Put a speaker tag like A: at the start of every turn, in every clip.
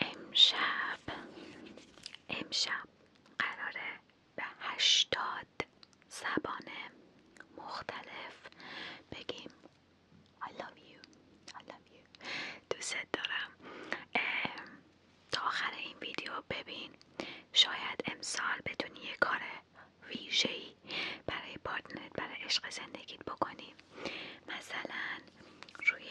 A: امشب امشب قراره به هشتاد زبان مختلف بگیم I love you, I love دوست دارم تا آخر این ویدیو ببین شاید امسال بتونی یه کار ویژه‌ای برای پارتنرت برای عشق زندگیت بکنی مثلا روی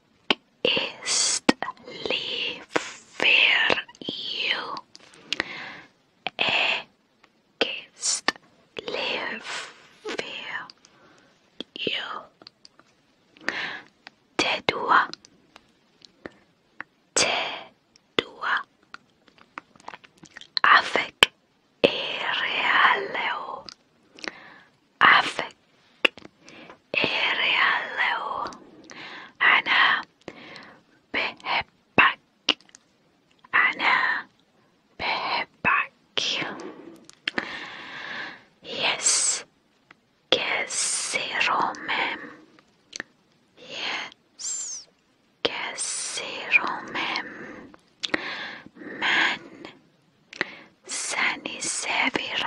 A: ist lieb für you. Er ist du, für you. Tedua. Tedua. Avec Irrealeo. أفك إيريالو أنا بحبك أنا بحبك Yes كثير مهم Yes كثير مهم من سنسافر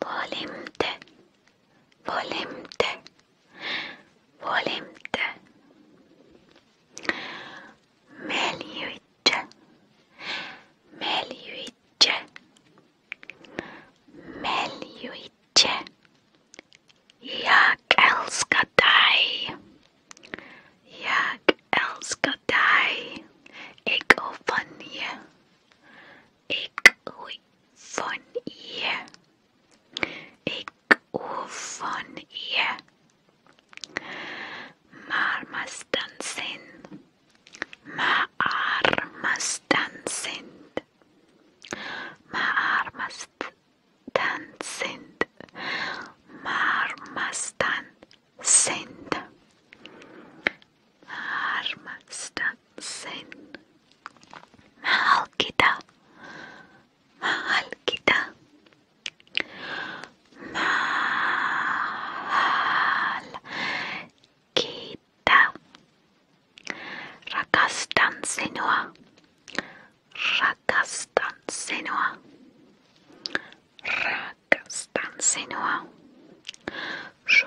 A: Volimte, volimte, volimte. Melyütçe, melyütçe, melyütçe. Jak elskadai, jak elskadai. Ik hou van je, Ik van je. Ik van je. Maar must dansen. Maar must dansen. Maar must dansen. Maar must dansen. Harmak'ta sen mahal kita mahal kita mahal kita rakastan senua rakastan senua rakastan senua je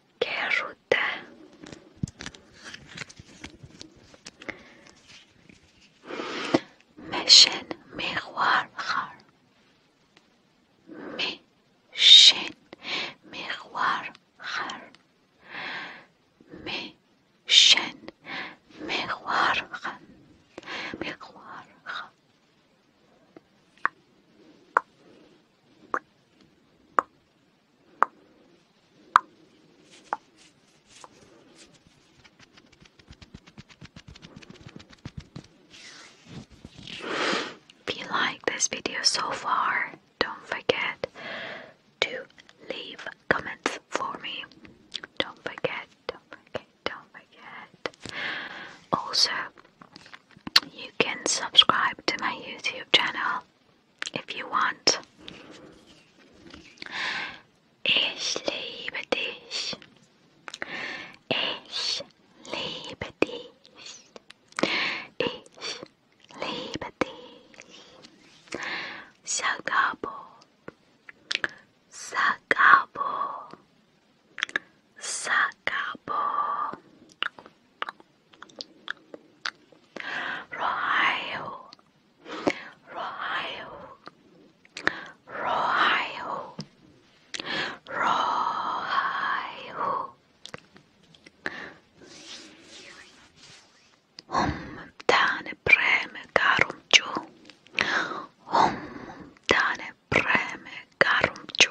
A: Kerrytä. Meşen miroir. Meşen miroir. Meşen miroir. Miroir. If you like this video so far, don't forget to leave comments for me. Don't forget, don't forget, don't forget. Also, you can subscribe to my YouTube channel if you want. Ich liebe dich. Ich liebe dich. Ich liebe dich. Sagabo. Sagabo. Sagabo. Rohayo, Rohayo, Rohayo, Rohayo. Hum dane preme karum chu. Hum dane preme karum chu.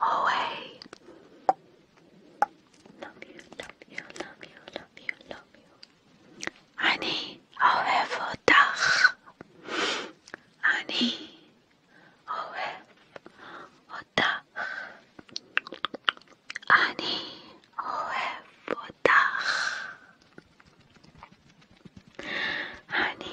A: away. Love you, love you, love you, love you, love you. Ani, have otach. Ani, Honey. otach. Ani, ohev otach. Ani,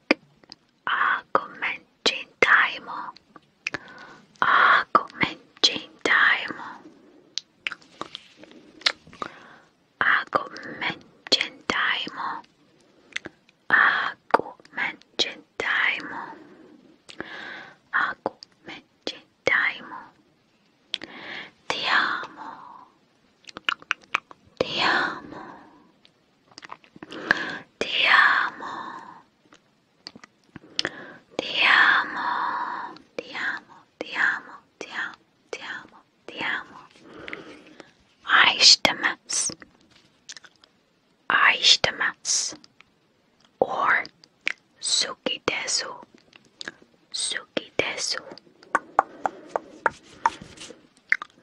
A: argumenting daimo argumenting daimo argumenting ti amo Ti amo. Ti amo. Ti amo. Ti amo. Ti amo. Ti amo. Ti amo. Ti amo. Aishtamas. Aishtamas. Or Sukidesu. Sukidesu.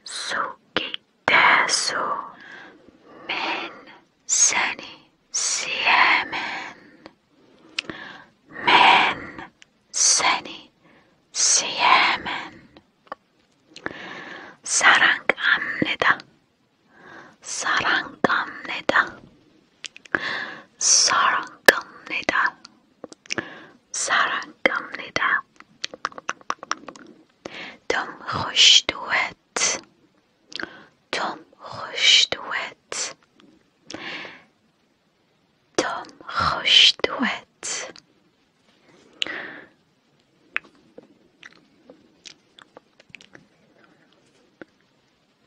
A: Sukitesu min seni siemen. Men seni siemen. 사랑합니다. 사랑합니다. 사랑합니다. 사랑합니다. 좀 호시두엣. 좀 호시두엣. 좀 호시두엣.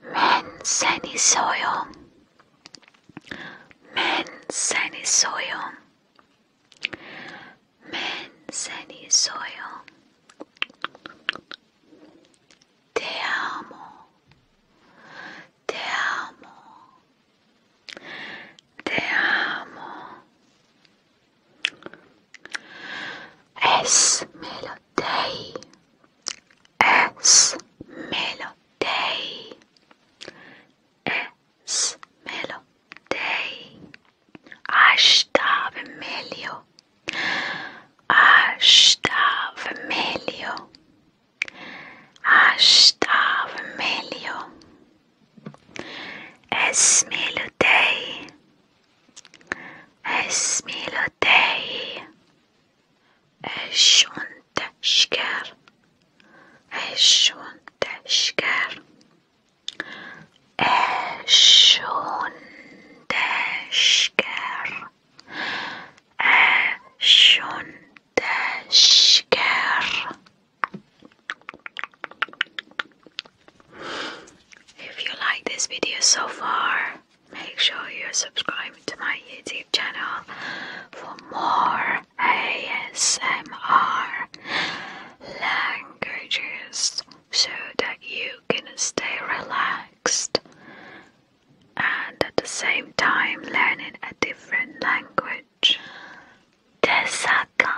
A: 맨 세니 소용. Men seni soyum. Men seni soyum. Te amo. Te amo. Te amo. Es melodei. Es melodei es melodei. Hasta vermelho. Hasta vermelho. Hasta vermelho. Es melodei. Es melodei. Es schon تشكر عشون تشكر عشون تشكر عشون تشكر If you like this video so far, make sure you subscribe to my YouTube channel for more ASMR languages so that you can stay relaxed and at the same time learning a different language. Tesaka.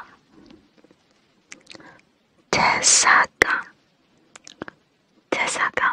A: Tesaka. Tesaka.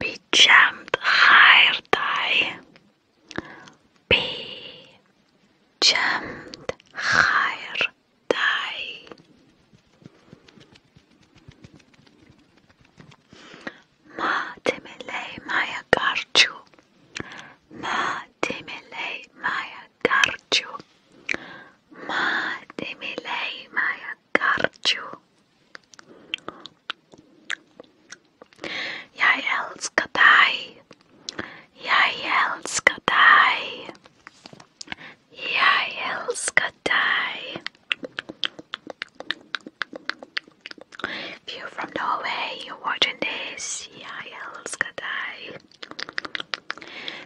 A: Pijamd hair dye. Pijamd hair dye. ما تملي ما يقارجو ما تملي ما يقارجو ما تملي ما Garciu. Jeg elsker deg. Jeg from Norway, you're watching this. Jeg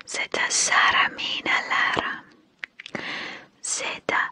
A: Zeta Sara Lara. Zeta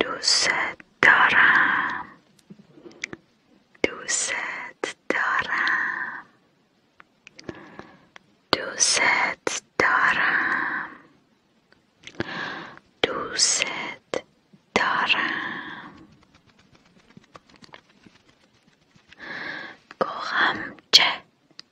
A: دوست دارم دوست دارم دوست دارم دوست دارم گوغم چه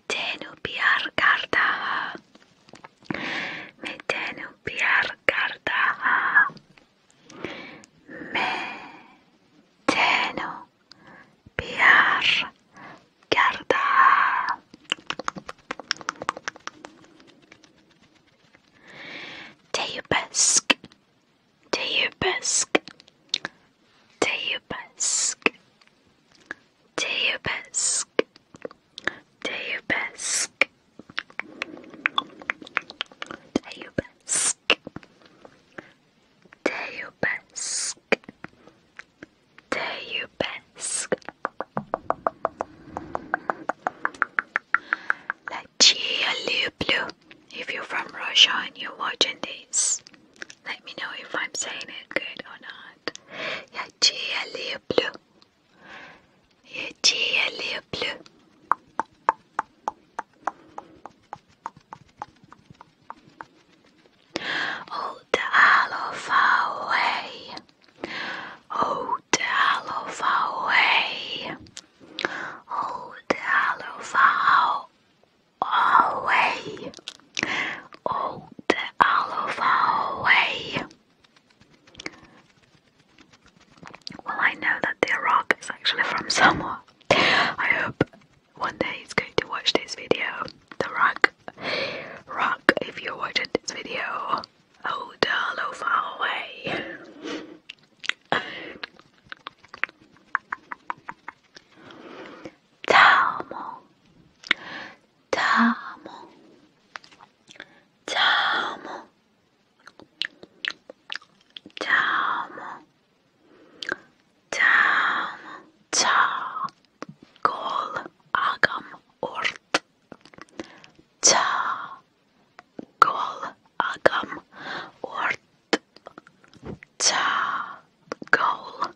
A: Metenu piyar karta ha. Metenu piyar karta ha. Metenu piyar karta ha. Teyubesk. Teyubesk. Teyubesk. Do your best. Do your best. Do your best. Do your best. Do your best. La Chia Blue. If you're from Russia and you're watching this, let me know if I'm saying it good or not. Я Я тебя люблю. Я тебя люблю. Oh, the alpha way. Oh, the alpha way. Oh, the alpha away. Oh, all out way. Well, I know that the rock is actually from somewhere. I hope one day he's going to watch this video. The rock, rock, if you're watching this video, hold oh, all over way. Tamo, Tamo. Tamo. Tamo. Tamo. Ta. Gol. Agam. Ort. Ta. Gol. Agam. Ort. Ta. Gol.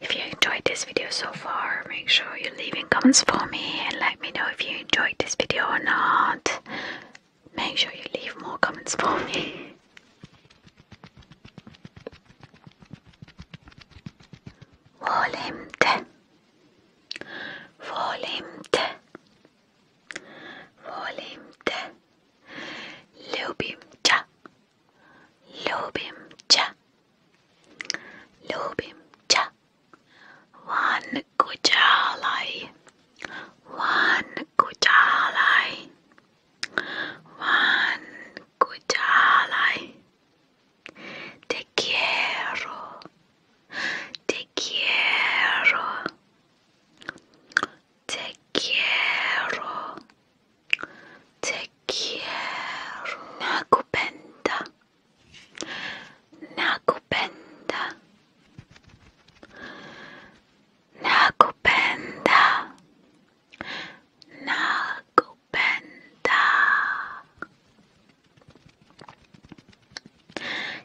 A: If you enjoyed this video so far, make sure you leave in comments for me and let me know if you enjoyed this video or not. Make sure you leave more comments for me. Volemt. Volimte, volimte, lubim cha, lubim cha, lubim cha. One kujalai, one kujalai, one kujalai. Te quiero. Te quiero. Te quiero. Te quiero. Nakupenda. Nakupenda. Nakupenda. Nakupenda.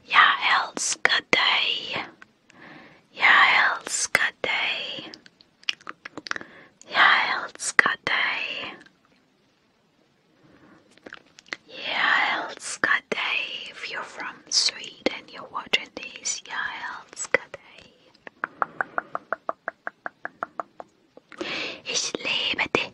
A: Ja, else good day. Ja, else good day. Ja, else good day. Yeah, else good day. If you're from Sweden, you're watching this. Yeah, else good day. Ich liebe dich.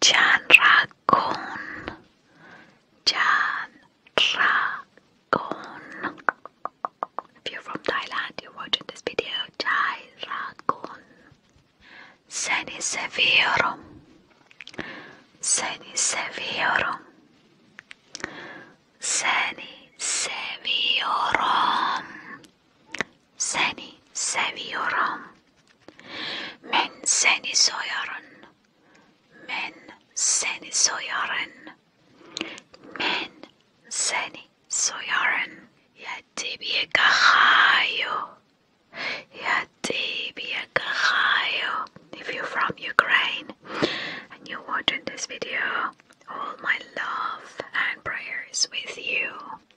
A: Jan Ragon, Jan Ragon. If you're from Thailand, you're watching this video. Jan Seni seviyorum, seni seviyorum, seni seviyorum. Seni seviyorum. Men seni soyarım. Men seni soyarım. Men seni soyarım. Yedi bir kahayo. Yedi kahayo. If you're from Ukraine and you're watching this video, all my love and prayers with you.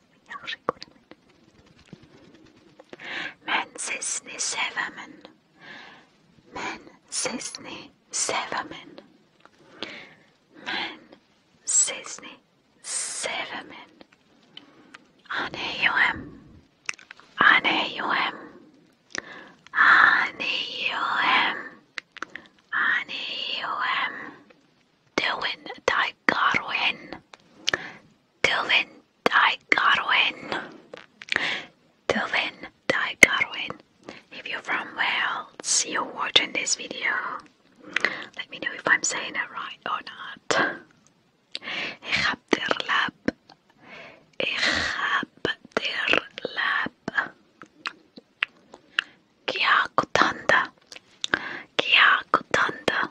A: Men Yavri Men sesini sevemin. Men sesini sevemin. Men sesini sevemin. Aneyuhem. Aneyuhem. Aneyuhem. Aneyuhem. Dilwyn Daigarwyn. Dylan Di Godwin. Dylan Di Godwin. If you're from Wales, you're watching this video. Let me know if I'm saying it right or not. Ik heb de lab. Ik heb de lab. Kia kutanda. Kia kutanda.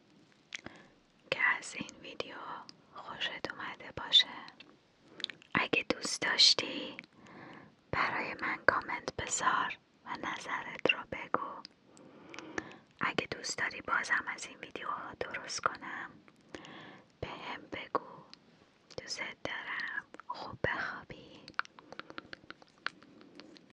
A: که از این ویدیو خوشت اومده باشه اگه دوست داشتی برای من کامنت بذار و نظرت رو بگو اگه دوست داری بازم از این ویدیو درست کنم به هم بگو دوست دارم خوب بخوابی